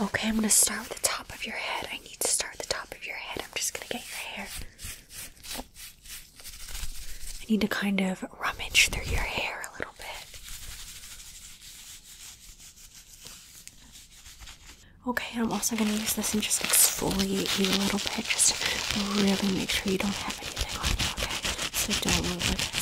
Okay, I'm going to start with the top of your head. I need to start with the top of your head. I'm just going to get your hair. I need to kind of rummage through your hair a little bit. Okay, I'm also going to use this and just exfoliate you a little bit. Just really make sure you don't have anything on okay? So don't move with this.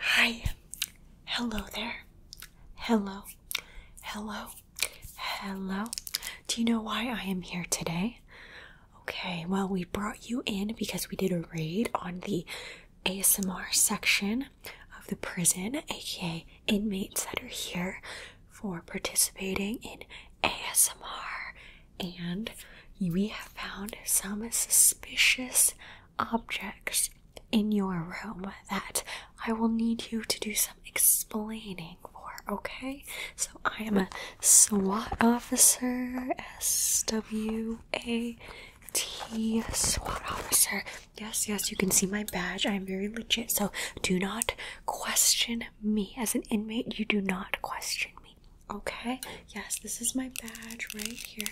Hi. Hello there. Hello. Hello. Hello. Do you know why I am here today? Okay, well, we brought you in because we did a raid on the ASMR section of the prison, aka inmates that are here for participating in ASMR. And we have found some suspicious objects in your room that I will need you to do some explaining for, okay? So I am a SWAT officer, SW. A T SWAT officer. Yes, yes, you can see my badge. I am very legit, so do not question me. As an inmate, you do not question me. Okay? Yes, this is my badge right here.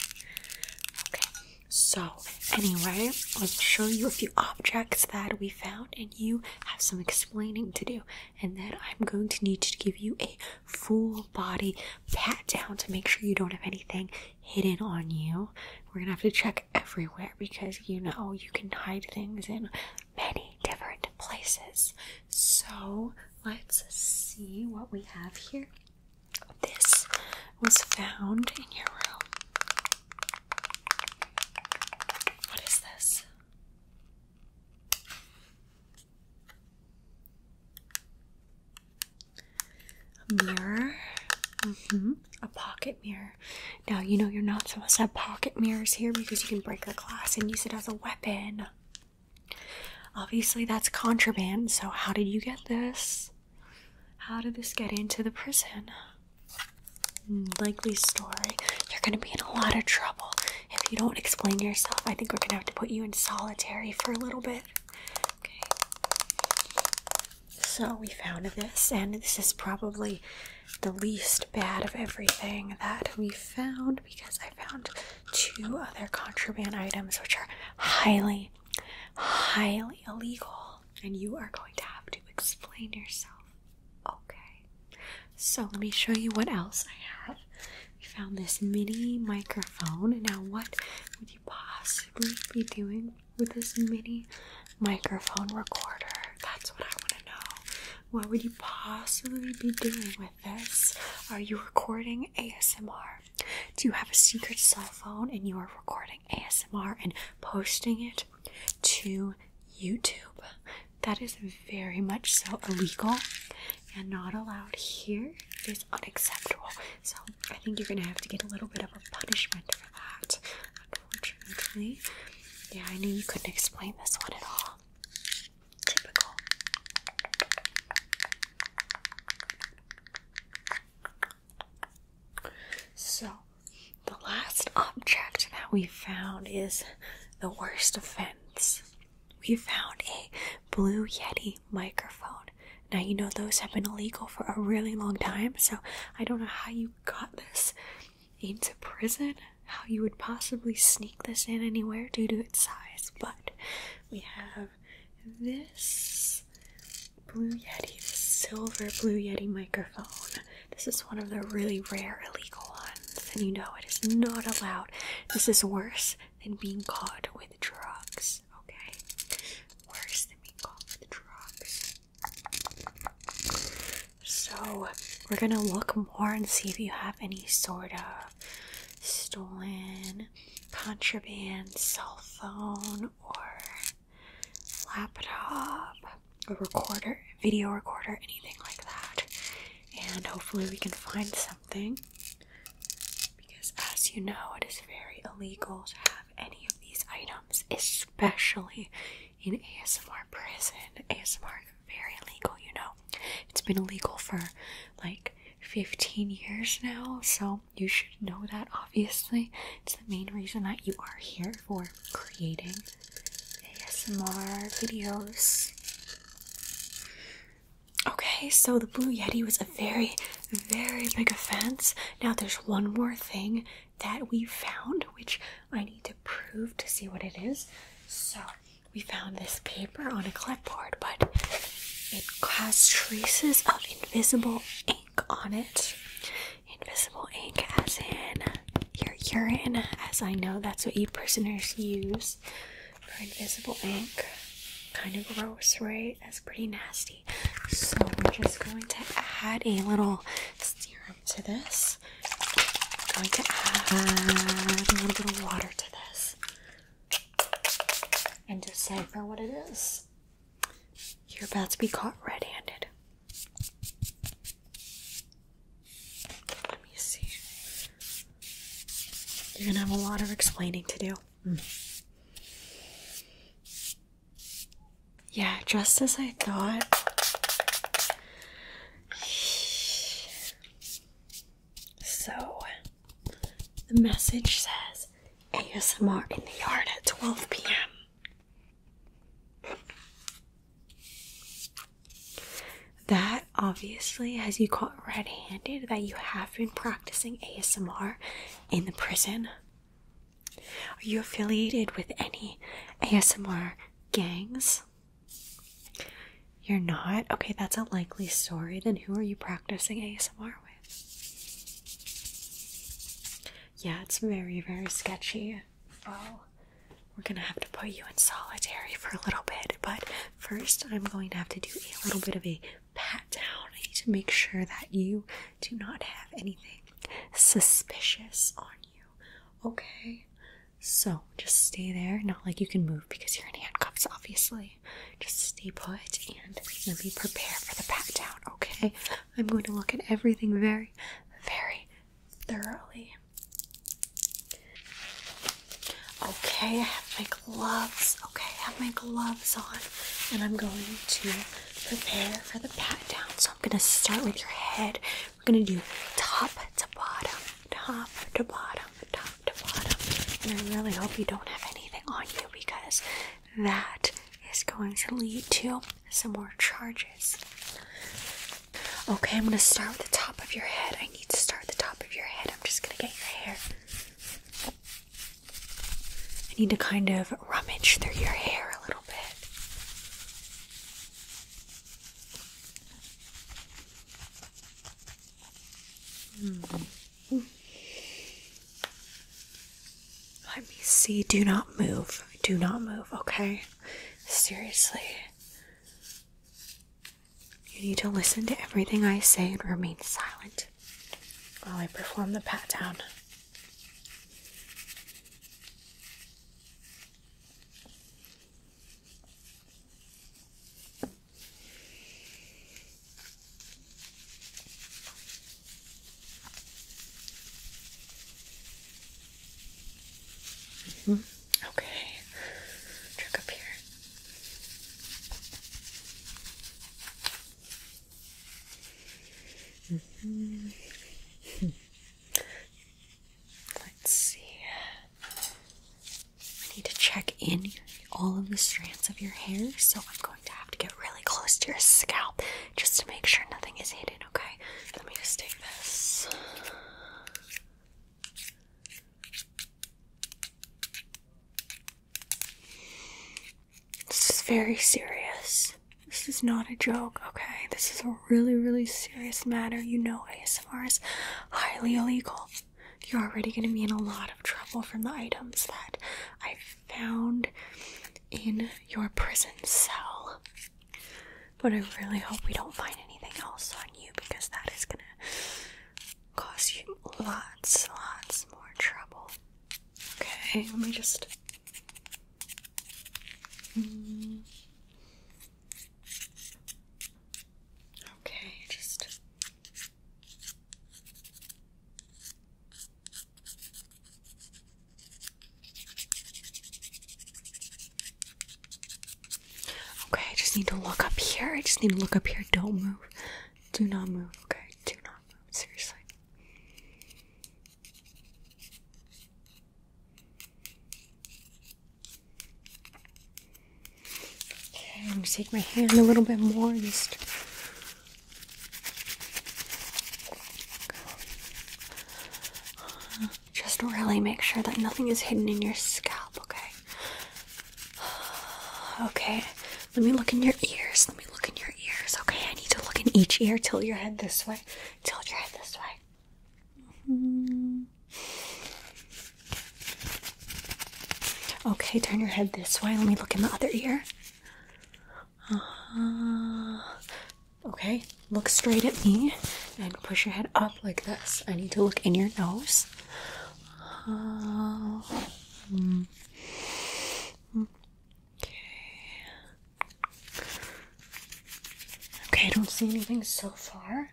Okay, so anyway, I'll show you a few objects that we found, and you have some explaining to do. And then I'm going to need to give you a full body pat down to make sure you don't have anything hidden on you. We're gonna have to check everywhere because you know you can hide things in many different places. So let's see what we have here. This was found in your room. What is this? A mirror. Mm-hmm. A pocket mirror. Now, you know you're not supposed to have pocket mirrors here because you can break the glass and use it as a weapon. Obviously, that's contraband, so how did you get this? How did this get into the prison? Likely story. You're gonna be in a lot of trouble if you don't explain yourself, I think we're gonna have to put you in solitary for a little bit. Okay. So we found this, and this is probably the least bad of everything that we found because I found two other contraband items which are highly, highly illegal, and you are going to have to explain yourself. Okay. So let me show you what else I have. We found this mini microphone. Now, what would you possibly be doing with this mini microphone recorder? That's what I want to know. What would you possibly be doing with this? Are you recording ASMR? Do you have a secret cell phone and you are recording ASMR and posting it to YouTube? That is very much so illegal and not allowed here. It is unacceptable. So I think you're gonna have to get a little bit of a punishment for that, unfortunately. Yeah, I knew you couldn't explain this one at all. Typical. So, the last object that we found is the worst offense. We found a Blue Yeti microphone. Now, you know, those have been illegal for a really long time, so I don't know how you got this into prison, how you would possibly sneak this in anywhere due to its size, but we have this Blue Yeti, this silver Blue Yeti microphone. This is one of the really rare illegal ones and you know it is not allowed. This is worse than being caught with drugs, okay? Worse than being caught with drugs. So, we're gonna look more and see if you have any sort of stolen contraband cell phone or laptop, a recorder, video recorder, anything like that and hopefully we can find something because, as you know, it is very illegal to have any of these items, especially in ASMR prison. ASMR very illegal, you know. It's been illegal for like 15 years now, so you should know that obviously. It's the main reason that you are here for creating ASMR videos. Okay, so the Blue Yeti was a very, very big offense. Now, there's one more thing that we found, which I need to prove to see what it is. So, we found this paper on a clipboard, but it has traces of invisible ink on it. Invisible ink, as in, you urine, as I know that's what you prisoners use for invisible ink. Kind of gross, right? That's pretty nasty. So, we're just going to add a little serum to this. I'm going to add a little bit of water to this and decipher what it is. You're about to be caught red handed. Let me see. You're gonna have a lot of explaining to do. Hmm. Yeah, just as I thought. So, the message says ASMR in the yard at 12 p.m. That obviously has you caught red handed that you have been practicing ASMR in the prison. Are you affiliated with any ASMR gangs? You're not? Okay, that's a likely story. Then who are you practicing ASMR with? Yeah, it's very, very sketchy my we're gonna have to put you in solitary for a little bit. But first, I'm going to have to do a little bit of a pat down. I need to make sure that you do not have anything suspicious on you, okay? So just stay there. Not like you can move because you're in handcuffs, obviously. Just stay put and let me prepare for the pat down, okay? I'm going to look at everything very, very thoroughly. Okay, I have my gloves. Okay, I have my gloves on, and I'm going to prepare for the pat down. So I'm gonna start with your head. We're gonna do top to bottom, top to bottom, top to bottom. And I really hope you don't have anything on you because that is going to lead to some more charges. Okay, I'm gonna start with the top of your head. I need to start at the top of your head. I'm just gonna get your hair. I need to kind of rummage through your hair a little bit. Hmm. Let me see. Do not move. Do not move, okay? Seriously. You need to listen to everything I say and remain silent while I perform the pat down. Okay, check up here. Mm-hmm. Let's see. I need to check in all of the strands of your hair, so I'm going to have to get really close to your scalp just to make sure nothing is hidden okay? Let me just take this. This is very serious. This is not a joke, okay? This is a really, really serious matter. You know ASMR is highly illegal. You're already going to be in a lot of trouble from the items that I found in your prison cell. But I really hope we don't find anything else on you because that is gonna cause you lots, lots more trouble. Okay, let me just. Mm. Okay, just. Okay, I just need to look up here. I just need to look up here. Don't move. Do not move. Okay, do not move. Seriously. Okay, I'm gonna take my hand a little bit more just just really make sure that nothing is hidden in your scalp, okay? Okay, let me look in your ears. Let me look in your ears, okay? I need to look in each ear. Tilt your head this way. Tilt your head this way. Mm-hmm. Okay, turn your head this way. Let me look in the other ear. Uh-huh. okay, look straight at me and push your head up like this. I need to look in your nose. Uh, okay. Okay, I don't see anything so far.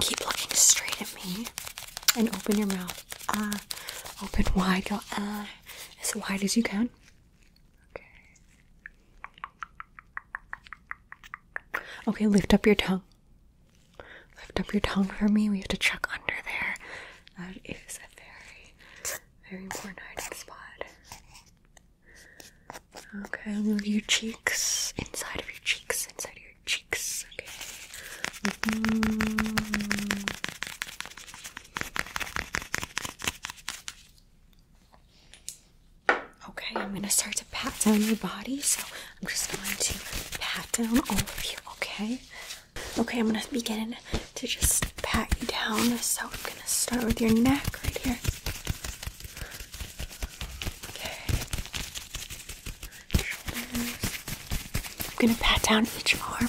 Keep looking straight at me and open your mouth. Ah, open wide. your ah as wide as you can. Okay. Okay, lift up your tongue. Lift up your tongue for me. We have to check under there. That is a very, very important spot. Okay, move your cheeks inside of your cheeks, inside of your cheeks. Okay. Mm. Okay, I'm gonna start to pat down your body, so I'm just going to pat down all of you, okay? Okay, I'm gonna begin to just pat you down, so I'm gonna start with your neck right here. Okay. Shoulders. I'm gonna pat down each arm.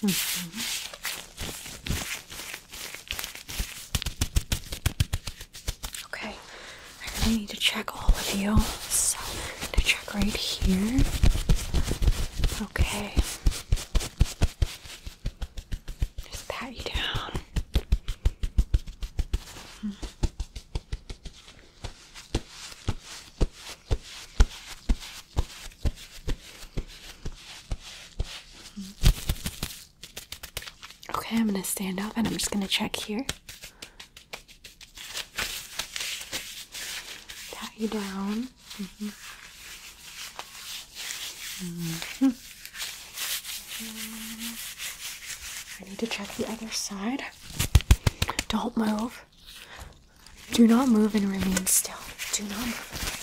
Mm-hmm. Okay, I really need to check all of you. So I'm to check right here. Okay. Just pat you down. Okay, I'm gonna stand up and I'm just gonna check here. Pat you down. Mm-hmm. I need to check the other side. Don't move. Do not move and remain still. Do not move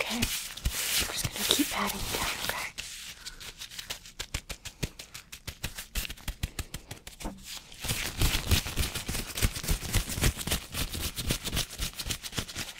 Okay. I'm just gonna keep adding. you okay?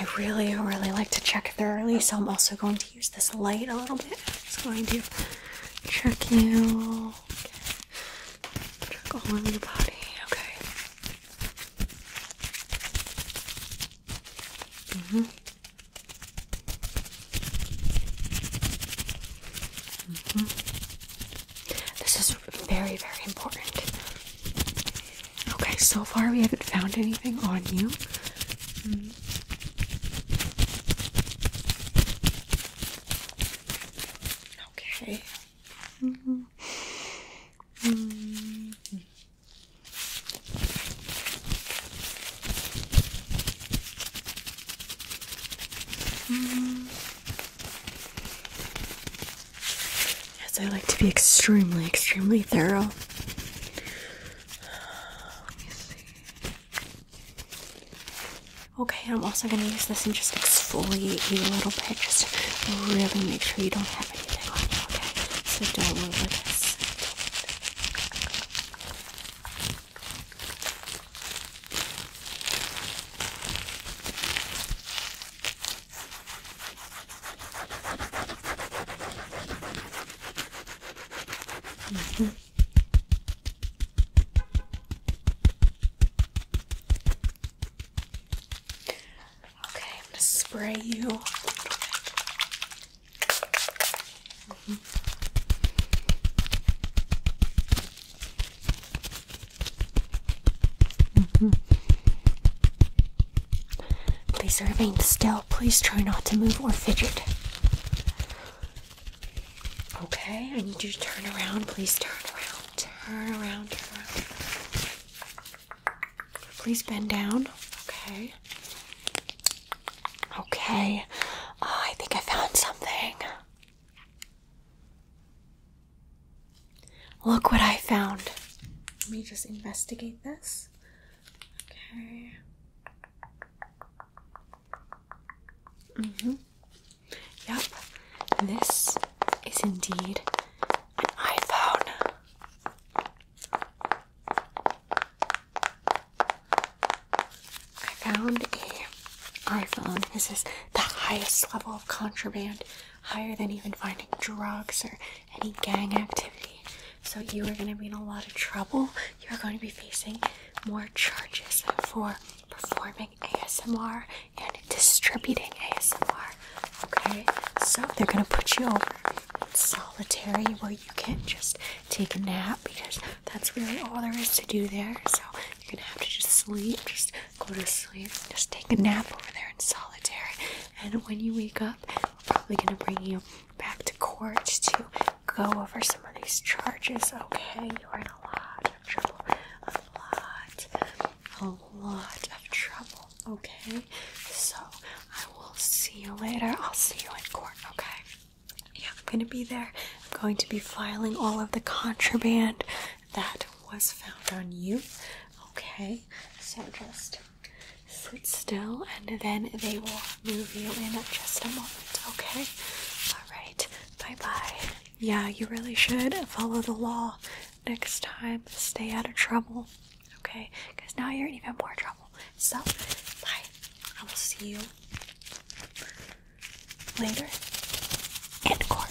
I really, really like to check thoroughly, so I'm also going to use this light a little bit. I'm just going to check you. Check all over your body. Okay. Mm-hmm. Mm-hmm. This is very, very important. Okay, so far we haven't found anything on you. Hmm. Okay. -hmm. -hmm. -hmm. Yes, I like to be extremely, extremely thorough. Okay, I'm also gonna use this and just exfoliate you a little bit, just really make sure you don't have anything on you, okay? So don't move like this. Mm -hmm. Okay, I'm gonna spray you. Mm -hmm. Mm -hmm. Please remain still. Please try not to move or fidget. Okay, I need you to turn around. Please turn around. Turn around. Turn around. Please bend down. Okay. Okay. Ah, I think I found something. Look what I found. Let me just investigate this. Okay. hmm Yep. This is indeed an iPhone. I found a iPhone. This is the highest level of contraband higher than even finding drugs or any gang activity. So you are going to be in a lot of trouble. You are going to be facing more charges for performing ASMR and distributing ASMR. Okay, so they're going to put you over solitary where you can't just take a nap because that's really all there is to do there. So you're going to have to just sleep, just go to sleep, just take a nap over there in solitary. And when you wake up, we're probably gonna bring you back to court to go over some of these charges. Okay, you're in a lot of trouble, a lot, a lot of trouble. Okay, so I will see you later. I'll see you in court. Okay. Yeah, I'm gonna be there. I'm going to be filing all of the contraband that was found on you. Okay, so just sit still and then they will move you in just a moment. Okay, all right, bye bye. Yeah, you really should follow the law next time, stay out of trouble. Okay, because now you're in even more trouble. So, bye. I will see you later in court.